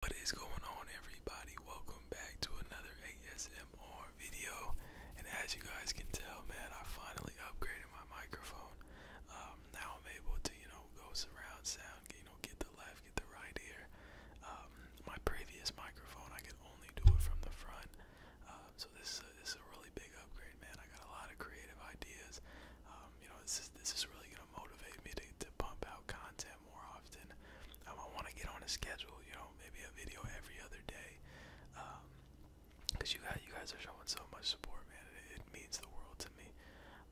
What is going on everybody? Welcome back to another ASMR video. And as you guys can tell, man, I finally upgraded my microphone. Um, now I'm able to, you know, go surround sound, you know, get the left, get the right ear. Um, my previous microphone, I could only do it from the front. Um, so this is, a, this is a really big upgrade, man. I got a lot of creative ideas. you know, this is, this is really going to motivate me to pump out content more often. Um, I want to get on a schedule, you know, maybe a video every other day. Um, Cause you guys, you guys are showing so much support, man. It, means the world to me.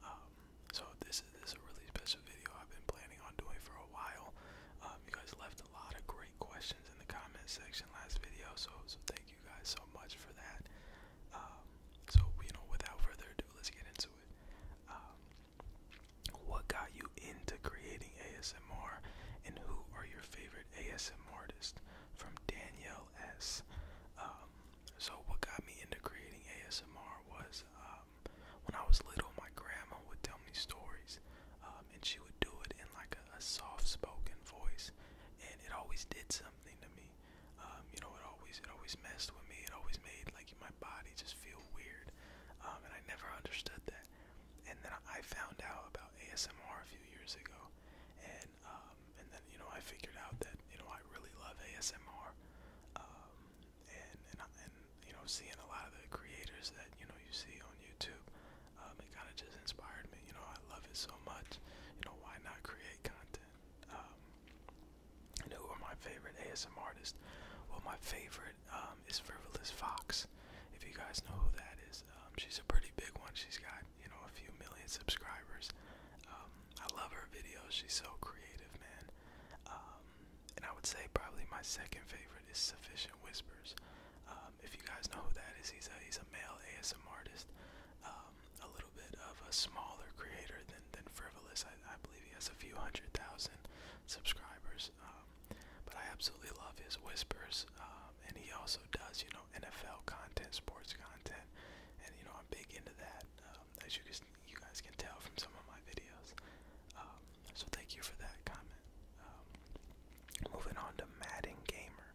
Um, so this is this a really special video I've been planning on doing for a while. Um, you guys left a lot of great questions in the comment section last video, so so thank you guys so much for that. so you know, without further ado, let's get into it. What got you into creating ASMR and who are your favorite ASMR artists? From Danielle S. Um, so, what got me into creating ASMR was um, when I was little, my grandma would tell me stories um, and she would do it in like a, soft spoken voice, and it always did something to me. you know, it always it always messed with me. It always made like my body just feel weird weird, um, and I never understood that. And then I found out about ASMR a few years ago, and um, and then you know I figured out that you know I really love ASMR, um, and and and you know seeing a lot of the creators that you know you see on YouTube, um, it kind of just inspired me. You know I love it so much. You know why not create content? Um, and who are my favorite ASM artists? Well, my favorite um, is Frivolous Fox. If you guys know who that is, um, she's a pretty big one. She's got you know a few million subscribers. Um, I love her videos. She's so creative, man. Um, and I would say probably my second favorite is Sufficient Whispers. Um, if you guys know who that is, he's a he's a male ASM artist. Um, a little bit of a smaller creator than than Frivolous. I, I believe he has a few hundred thousand subscribers. Um, but I absolutely love his whispers, um, and he also does, you know, NFL content, sports content, and you know I'm big into that, um, as you guys you guys can tell from some of my videos. Um, so thank you for that comment. Um, moving on to Madden Gamer,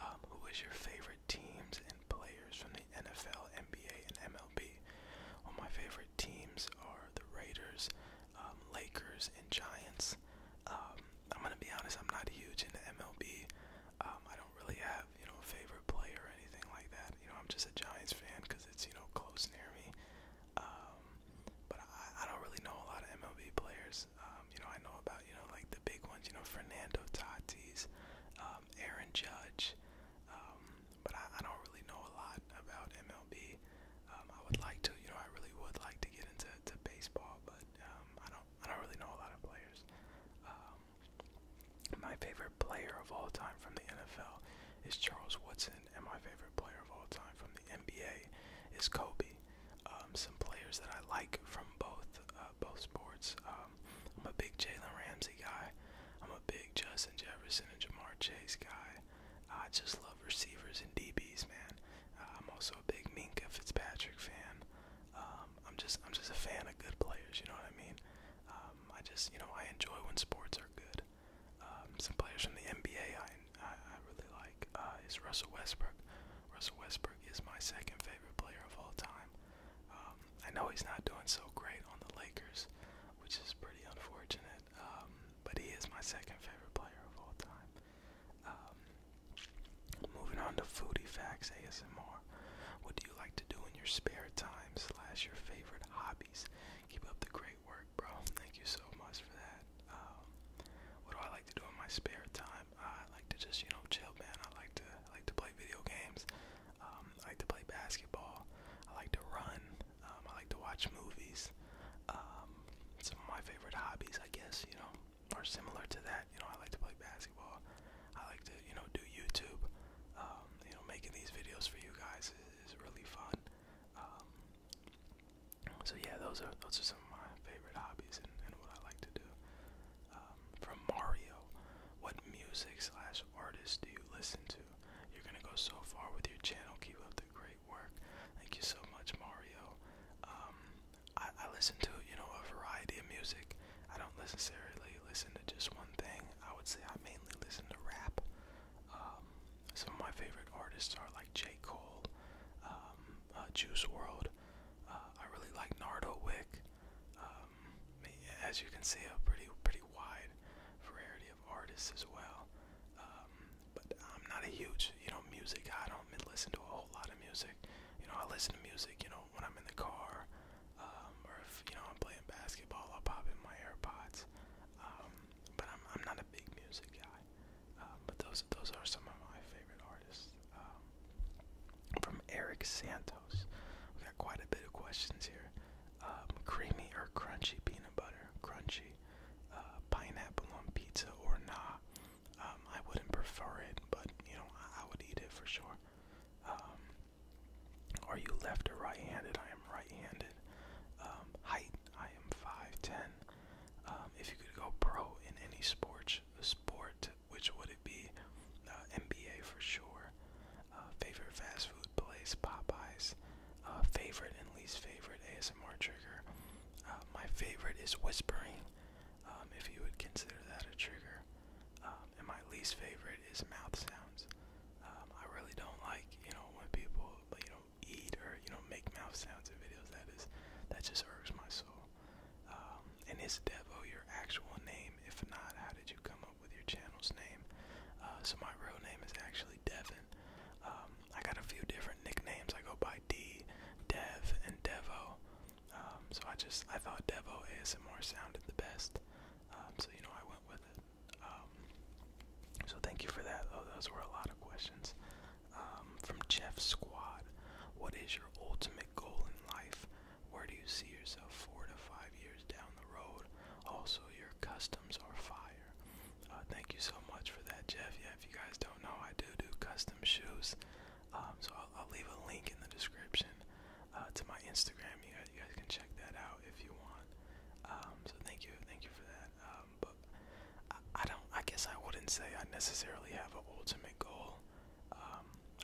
um, who is your favorite teams and players from the NFL, NBA, and MLB. Well, my favorite teams are the Raiders, um, Lakers, and Giants. Um, I'm gonna be honest, I'm not huge into MLB. Um, I don't really have, you know, a favorite player or anything like that. You know, I'm just a Giants fan because it's, you know, close near me. Um, but I, I don't really know a lot of MLB players. Um, you know, I know about, you know, like the big ones, you know, Fernando Tatis, um, Aaron Judge, um, but I, I don't really know a lot about MLB. Um, I would like to, you know, I really would like to get into to baseball, but um, I don't, I don't really know a lot of players. Um, my favorite player of all time from the NFL is Charles Woodson, and my favorite player of all time from the NBA is Kobe. Um, some players that I like from both uh, both sports. Um, I'm a big Jalen Ramsey guy. I'm a big Justin Jefferson and Jamar Chase guy. I just love receivers and DBs, man. Uh, I'm also a big Minka Fitzpatrick fan. Um, I'm just I'm just a fan of good players. You know what I mean? Um, I just you know I enjoy when sports are good. Um, some players from the NBA I I, I really like uh, is Russell Westbrook. Russell Westbrook is my second favorite player of all time. Um, I know he's not doing so great on the Lakers, which is pretty unfortunate that. Um, but he is my second favorite player of all time. Um, moving on to foodie facts ASMR. What do you like to do in your spare time slash your favorite hobbies? Keep up the great work, bro. Thank you so much for that. Um, what do I like to do in my spare time? I like to just, you know, chill, man. I like to I like to play video games. Um, I like to play basketball. I like to run. Um, I like to watch movies. Um, some of my favorite hobbies, I guess, you know, are similar to that. You know, I like to play basketball. I like to, you know, do YouTube. Um, you know, making these videos for you guys is, is really fun. Um, so yeah, those are those are some of my favorite hobbies and, and what I like to do. Um, from Mario, what music slash artist do you listen to? You're gonna go so far with your channel. Keep up the great work. Thank you so much, Mario. Um, I, listen to you know a variety of music. I don't necessarily listen to just one thing. I would say I mainly listen to rap. Um, some of my favorite artists are like J. Cole, um, uh, Juice World. Uh, I really like Nardo um, as you can see, a pretty pretty wide variety of artists as well. Um, but I'm not a huge, you know, music guy. I don't listen to a whole lot of music. You know, I listen to music, you know, when I'm in the car, um, or if, you know, I'm playing basketball, I'll pop in my AirPods. Um, but I'm, I'm not a big music guy. Um, but those, those are some of my favorite artists. Um, from Eric Santos. We got quite a bit of questions here. Um, creamy or crunchy peanut butter, crunchy uh, pineapple on pizza or not? Um, I wouldn't prefer it, but you know I, would eat it for sure. Um, are you left or right-handed? I am right-handed. height, I am 5'10". if you could go pro in any sport, sport, which would it be? Uh, NBA for sure. Uh, favorite fast food place, Popeyes uh, favorite and least favorite ASMR trigger. Uh, my favorite is whispering, um, if you would consider that a trigger. Um, and my least favorite is mouth sounds. Um, I really don't like, you know, when people, you know, eat or, you know, make mouth sounds in videos. That is, that just irks my soul. Um, and is Devo your actual name? If not, how did you come up with your channel's name? Uh, so my real name is actually really um, I got a few different nicknames. I go by D, Dev, and Devo. Um, so I just I thought Devo ASMR sounded the best. Um, so you know I went with it. so thank you for that. Though those were a lot of questions. from Jeff Squad, what is your ultimate goal in life? Where do you see yourself four to five years down the road? Also, your customs are fire. Uh, thank you so much for that, Jeff. Yeah, if you guys don't know, I do do custom shoes. Um, so I'll, leave a link in the description uh, to my Instagram. You guys, you guys can check that out if you want. Um, so thank you, thank you for that. Um, but I, don't. I guess I wouldn't say I necessarily have an ultimate goal.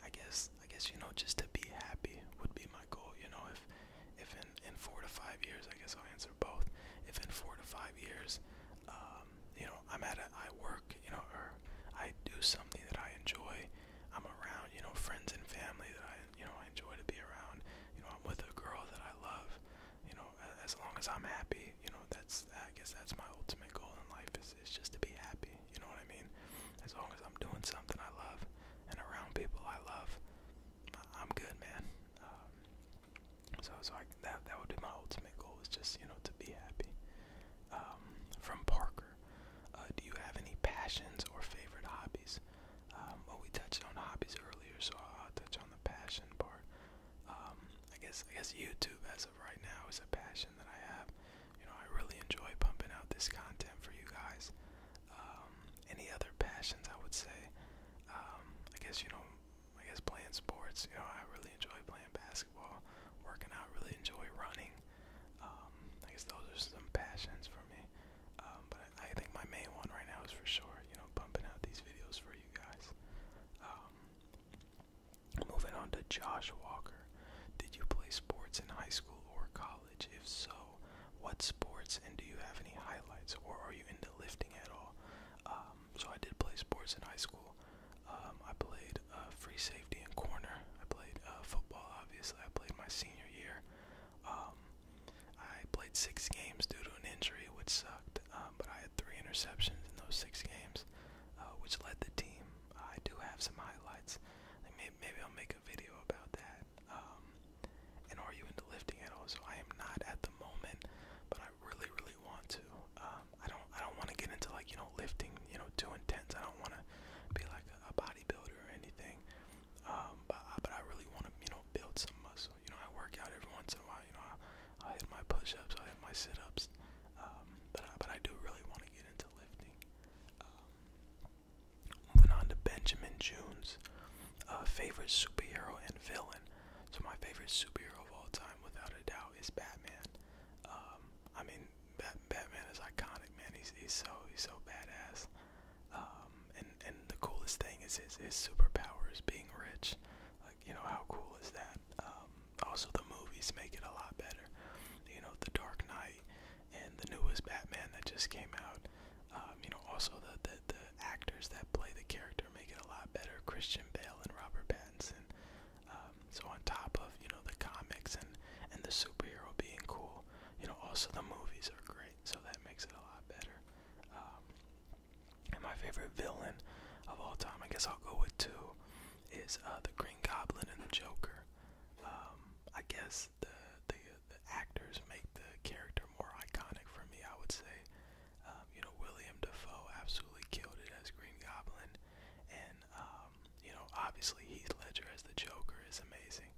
I guess I guess you know just to be happy would be my goal. You know, if if in four to five years, I guess I'll answer both. If in four to five years, um, you know, I'm at a, I work, you know, or I do something that I enjoy. I'm around, you know, friends and family that I, you know, I enjoy to be around. You know, I'm with a girl that I love. You know, as long as I'm happy, you know, that's I guess that's my ultimate goal in life is is just to be happy. You know what I mean? As long as I'm doing something I love and around people I love, I'm good, man. Um, so, so I, that that would be my ultimate goal is just you know to be happy. Um, from Parker, uh, do you have any passions or favorite hobbies? Um, well, we touched on hobbies earlier, so I'll touch on the passion part. Um, I guess I guess YouTube as of right now is a passion that I have. You know, I really enjoy pumping out this content for you guys um, any other passions I would say. Um, I guess you know, I guess playing sports. You know, I really enjoy playing basketball, working out. Really enjoy running. Um, I guess those are some passions for me. Um, but I, I think my main one right now is for sure. You know, pumping out these videos for you guys. Um, moving on to Josh Walker. Did you play sports in high school or college? If so, what sports and do you have any highlights or are you into lifting at all? Um, so I did play sports in high school. Um, I played uh, free safety and corner. I played uh, football, obviously. I played my senior year. Um, I played six games due to an injury, which sucked. but I had three interceptions in those six games, uh, which led the team. I do have some highlights. Maybe I'll make a video about that and are you into lifting at all? So I am not at the moment, but I really, really want to. Um, I don't, I don't want to get into like you know lifting, you know, too intense. I don't want to be like a, bodybuilder or anything. Um, but, I really want to, you know, build some muscle. You know, I work out every once in a while. You know, I, hit my push-ups, I hit my sit-ups. Um, but I, but I do really want to get into lifting. moving on to Benjamin Junes uh, favorite superhero and villain. So my favorite superhero of all time, without a doubt, is Batman. Um, I mean, Bat Batman is iconic, man. He's he's so he's so badass. Um, and and the coolest thing is his his superpower is being rich. Like you know how cool is that? Um, also the movies make it a lot better. You know, The Dark Knight and the newest Batman that just came out. Um, you know, also the, the actors that play the character make it a lot better. Christian Bale and Robert Pattinson. Um, so on top of you know the comics and and the superhero being cool, you know, also the movies are great. So that makes it a lot better. Um, and my favorite villain of all time, I guess I'll go with two, is uh, the Green Goblin and the Joker. I guess the the actors make the character more iconic for me. I would say, um, you know, William Defoe absolutely killed it as Green Goblin, and um, you know, obviously Heath Ledger as the Joker is amazing.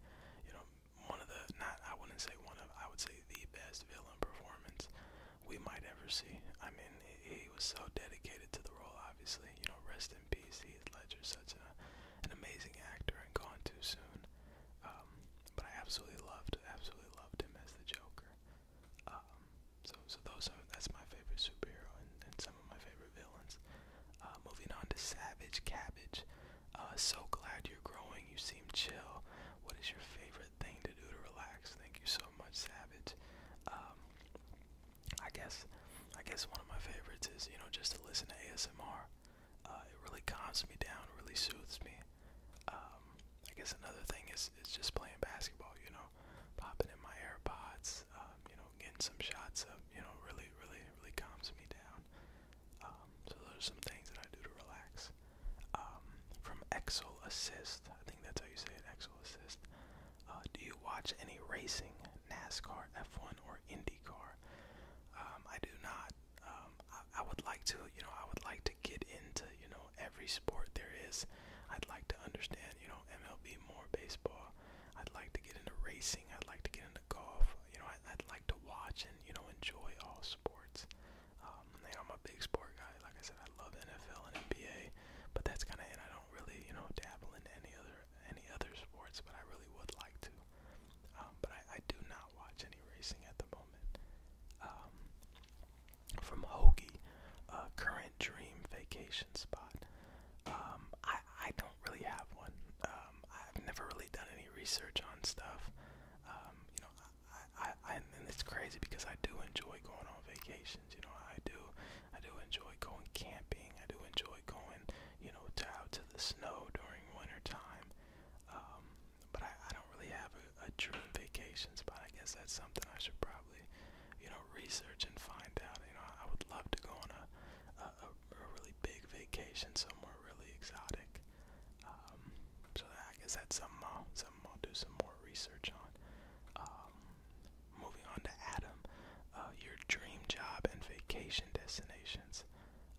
You know, one of the not I wouldn't say one of I would say the best villain performance we might ever see. I mean, he was so dedicated to the role. Obviously, you know, rest in peace, Heath Ledger, such a, an amazing actor and gone too soon. Um, but I absolutely loved, absolutely loved him as the Joker. Um, so, so those are that's my favorite superhero and, some of my favorite villains. Uh, moving on to Savage Cabbage. Uh, so glad you're growing. You seem chill. What is your favorite thing to do to relax? Thank you so much, Savage. Um, I guess, I guess one of my favorites is you know just to listen to ASMR. Uh, it really calms me down. Really soothes me. Um, I guess another thing is is just playing basketball. You know, popping in my AirPods. Um, you know, getting some shots up. You know, really, really, really calms me down. Um, so those are some things that I do to relax. Um, from Exol Assist, I think that's how you say it. Exol Assist. Uh, do you watch any racing, NASCAR, F1, or IndyCar? Um, I do not um, I, I would like to, you know, I would like to get into, you know, every sport there is. I'd like to understand, you know, MLB more, baseball. I'd like to get into racing. I'd like to get into golf. You know, I, I'd like to watch and, you know, enjoy all sports. Um, you know, I'm a big sport guy. Like I said, I love NFL and NBA, but that's kind of it. I don't really, you know, dabble into any other any other sports, but I really would like to. Um, but I, I do not watch any racing at the moment. Um, from Hoagie, uh, current dream vacation spot. Um, I I don't really have one. Um, I've never really done any research on stuff. Um, you know, I, I, I and it's crazy because I do enjoy going on vacations. You know, I do I do enjoy going camping. I do enjoy going you know to, out to the snow during winter time. Um, but I, I don't really have a, a dream vacation spot. I guess that's something I should probably, you know, research and find out. You know, I, I would love to go on a a, a, a really big vacation somewhere really exotic. Um, so I guess that's something I'll, something I'll do some more research on. Um, moving on to Adam, uh, your dream job and vacation destinations.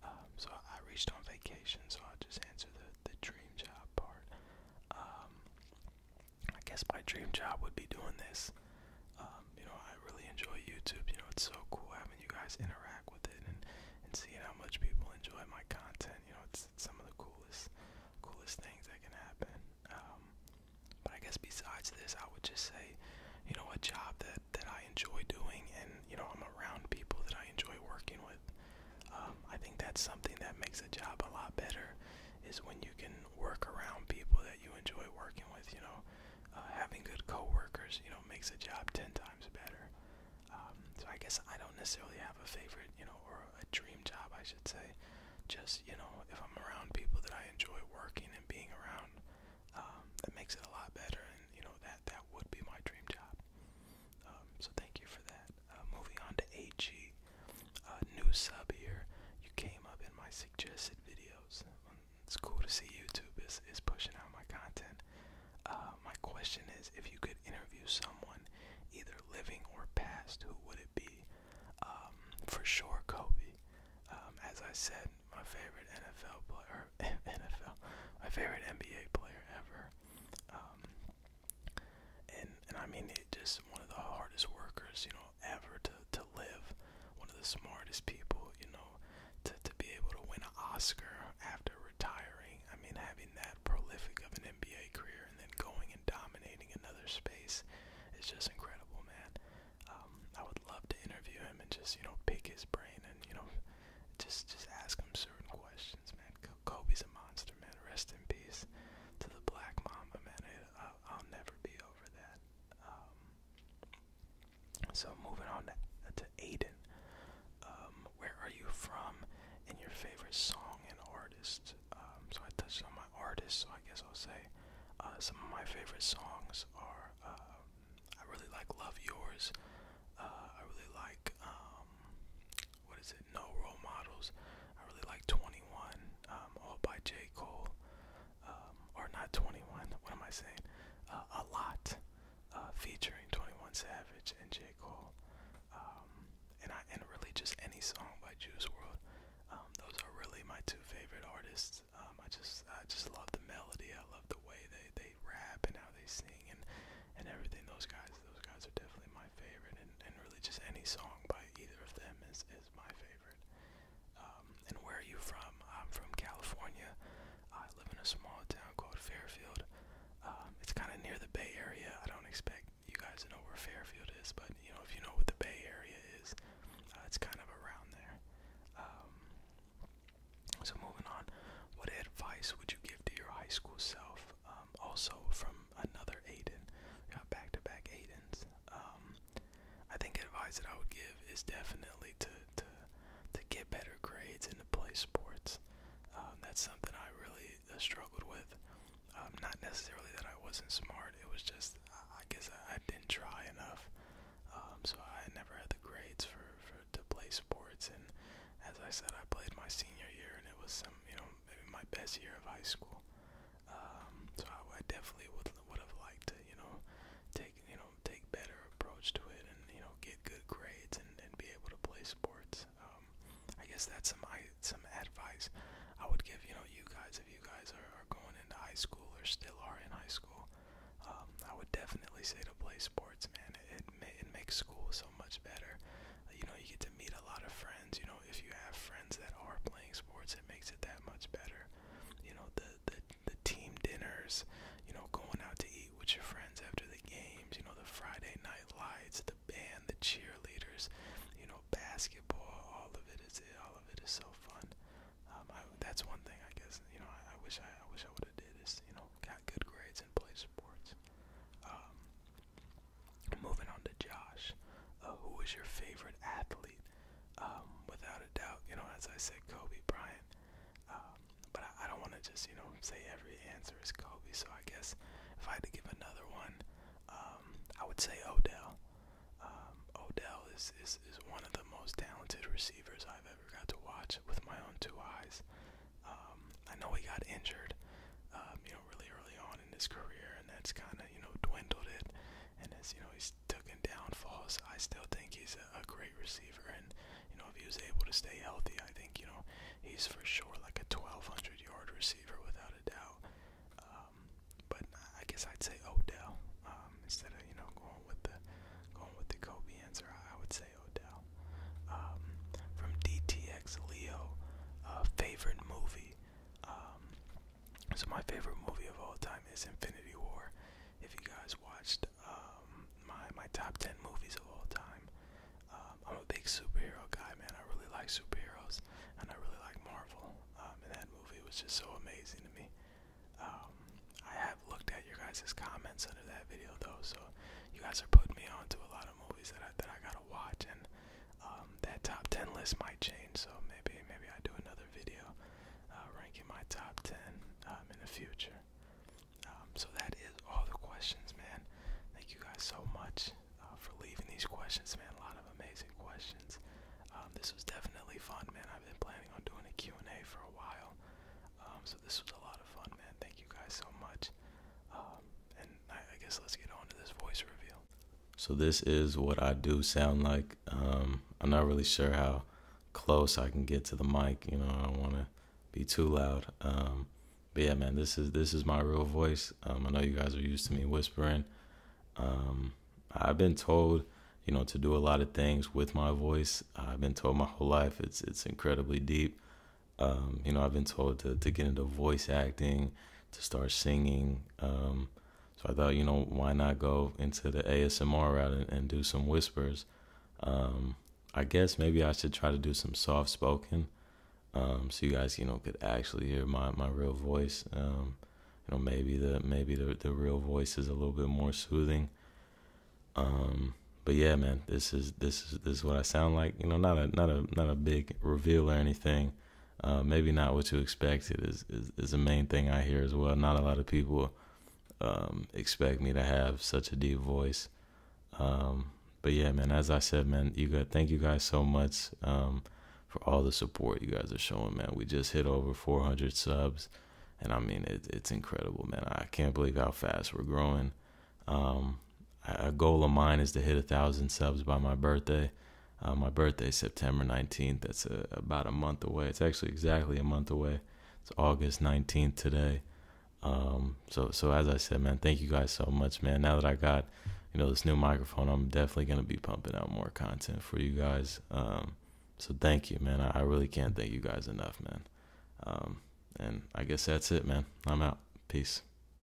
Um, so I reached on vacation, so I'll just answer the, the dream job part. Um, I guess my dream job would be doing this. Um, you know, I really enjoy YouTube. You know, it's so cool having you guys interact with it and, and seeing how much people enjoy my content. You know, it's, it's some of the coolest, coolest things that can happen. Um, but I guess besides this, I would just say, you know, a job that that I enjoy doing, and you know, I'm around people that I enjoy working with. Um, I think that's something that makes a job a lot better is when you can work around people that you enjoy working with. You know, uh, having good coworkers, you know, makes a job ten times better. Um, so I guess I don't necessarily have a favorite, you know, or a dream job, I should say. Just you know, if I'm around people that I enjoy working and being around, um, that makes it a lot better. And you know, that that would be my dream job. Um, so thank you for that. Uh, moving on to AG, new sub here. You came up in my suggested videos. it's cool to see YouTube is, is pushing out my content. Uh, my question is if you could interview someone, either living or past, who would it be? Um, for sure, Kobe. Um, as I said, my favorite NFL player, NFL, my favorite NBA player ever and and I mean it just one of the hardest workers you know ever to to live, one of the smartest people you know to to be able to win an Oscar after retiring. I mean having that prolific of an NBA career and then going and dominating another space is just incredible, man. Um, I would love to interview him and just you know pick his brain and you know just just ask him certain questions, man. Kobe's a monster, man. Rest in peace to the Black Mamba, man. I'll never be over that. Um, so moving on to, Aiden. Um, where are you from? And your favorite song and artist. Um, so I touched on my artists, so I guess I'll say uh, some of my favorite songs are. I really like Love Yours. Uh, I really like what is it? no role models. I really like 21, um, all by J. Cole. Um, or not 21, what am I saying? Uh, a lot, uh, featuring 21 Savage and J. Cole. Um, and I and really just any song by Juice World. those are really my two favorite artists. I just I just love the melody. I love the way they, they rap and how they sing and, and everything. Those guys those guys are definitely my my favorite, and, and really just any song by either of them is, is my favorite. Um, and where are you from? I'm from California. I live in a small town called Fairfield. Um, it's kind of near the Bay Area. I don't expect you guys to know where Fairfield is, but you know if you know what the Bay Area is, uh, it's kind of around there. Um, so moving on, what advice would you give to your high school self? have um, also from another Aiden. We got back to back Aidens. Um, I think advice that I would give is definitely to to to get better grades and to play sports. Um, that's something I really uh, struggled with. Um, not necessarily that I wasn't smart. It was just I guess I, I didn't try enough. Um, so I never had the grades for, for to play sports. And as I said, I played my senior year, and it was some you know maybe my best year of high school. Um, so I, I definitely would would have liked to, you know, take you know take better approach to it and you know get good grades and, and be able to play sports. Um, I guess that's some I, some advice I would give you know you guys if you guys are, are going into high school or still are in high school. Um, I would definitely say to play sports, man. It it, ma it makes school so much better you know, you get to meet a lot of friends. You know, if you have friends that are playing sports, it makes it that much better. You know, the the the team dinners, you know, going out to eat with your friends after the games, you know, the Friday night lights, the band, the cheerleaders, you know, basketball, all of it is all of it is so fun. Um, I, that's one thing I guess. You know, I, I wish I, I wish I would have did is you know got good grades and played sports. Um, Moving on to Josh, uh, who was your favorite athlete? Um, without a doubt, you know, as I said, Kobe Bryant. Um, but I, I don't want to just, you know, say every answer is Kobe. So I guess if I had to give another one, um, I would say Odell. Um, Odell is, is, is one of the most talented receivers I've ever got to watch with my own two eyes. Um, I know he got injured, um, you know, really early on in his career, and that's kind of you know dwindled it. And as you know, he's taken downfalls. I still think he's a, a great receiver, and you know, if he was able to stay healthy, I think you know he's for sure like a 1,200 yard receiver without a doubt. Um, but I guess I'd say Odell um, instead of you know going with the going with the Kobe answer. I would say Odell. Um, from DTX Leo, uh, favorite movie. Um, so my favorite movie of all time is Infinity War. If you guys watched um, my my top ten movies of all time, um, I'm a big superhero guy, man. I really like superheroes, and I really like Marvel. and that movie was just so amazing to me. I have looked at your guys' comments under that video though, so you guys are putting me on to a lot of movies that that I gotta watch, and um, that top 10 list might change, so maybe maybe I do another video uh, ranking my top 10 um, in the future. Um, so that is all the questions, man. Thank you guys so much uh, for leaving these questions, man. A lot of amazing questions. this was definitely fun, man. I've been planning on doing a Q&A for a while, so this was a lot of fun, man. Thank you guys so much, I, guess let's get on this voice reveal. So this is what I do sound like. Um, I'm not really sure how close I can get to the mic. You know, I don't want to be too loud. Um, but yeah, man, this is this is my real voice. Um, I know you guys are used to me whispering. I've been told, you know, to do a lot of things with my voice. I've been told my whole life it's it's incredibly deep. Um, you know, I've been told to, to get into voice acting, to start singing. Um, so I thought, you know, why not go into the ASMR route and, do some whispers? Um, I guess maybe I should try to do some soft spoken, so you guys, you know, could actually hear my, my real voice. you know, maybe the maybe the the real voice is a little bit more soothing. but yeah, man, this is this is this is what I sound like. You know, not a not a not a big reveal or anything uh, maybe not what you expected is, is, the main thing I hear as well. Not a lot of people um, expect me to have such a deep voice. Um, but yeah, man, as I said, man, you got thank you guys so much um, for all the support you guys are showing, man. We just hit over 400 subs, and I mean it's incredible, man. I can't believe how fast we're growing a goal of mine is to hit a thousand subs by my birthday. Uh, my birthday September 19th. That's about a month away. It's actually exactly a month away. It's August 19th today. Um, so so as I said, man, thank you guys so much, man. Now that I got you know this new microphone, I'm definitely gonna be pumping out more content for you guys. Um, so thank you, man. I, really can't thank you guys enough, man. Um, and I guess that's it, man. I'm out. Peace.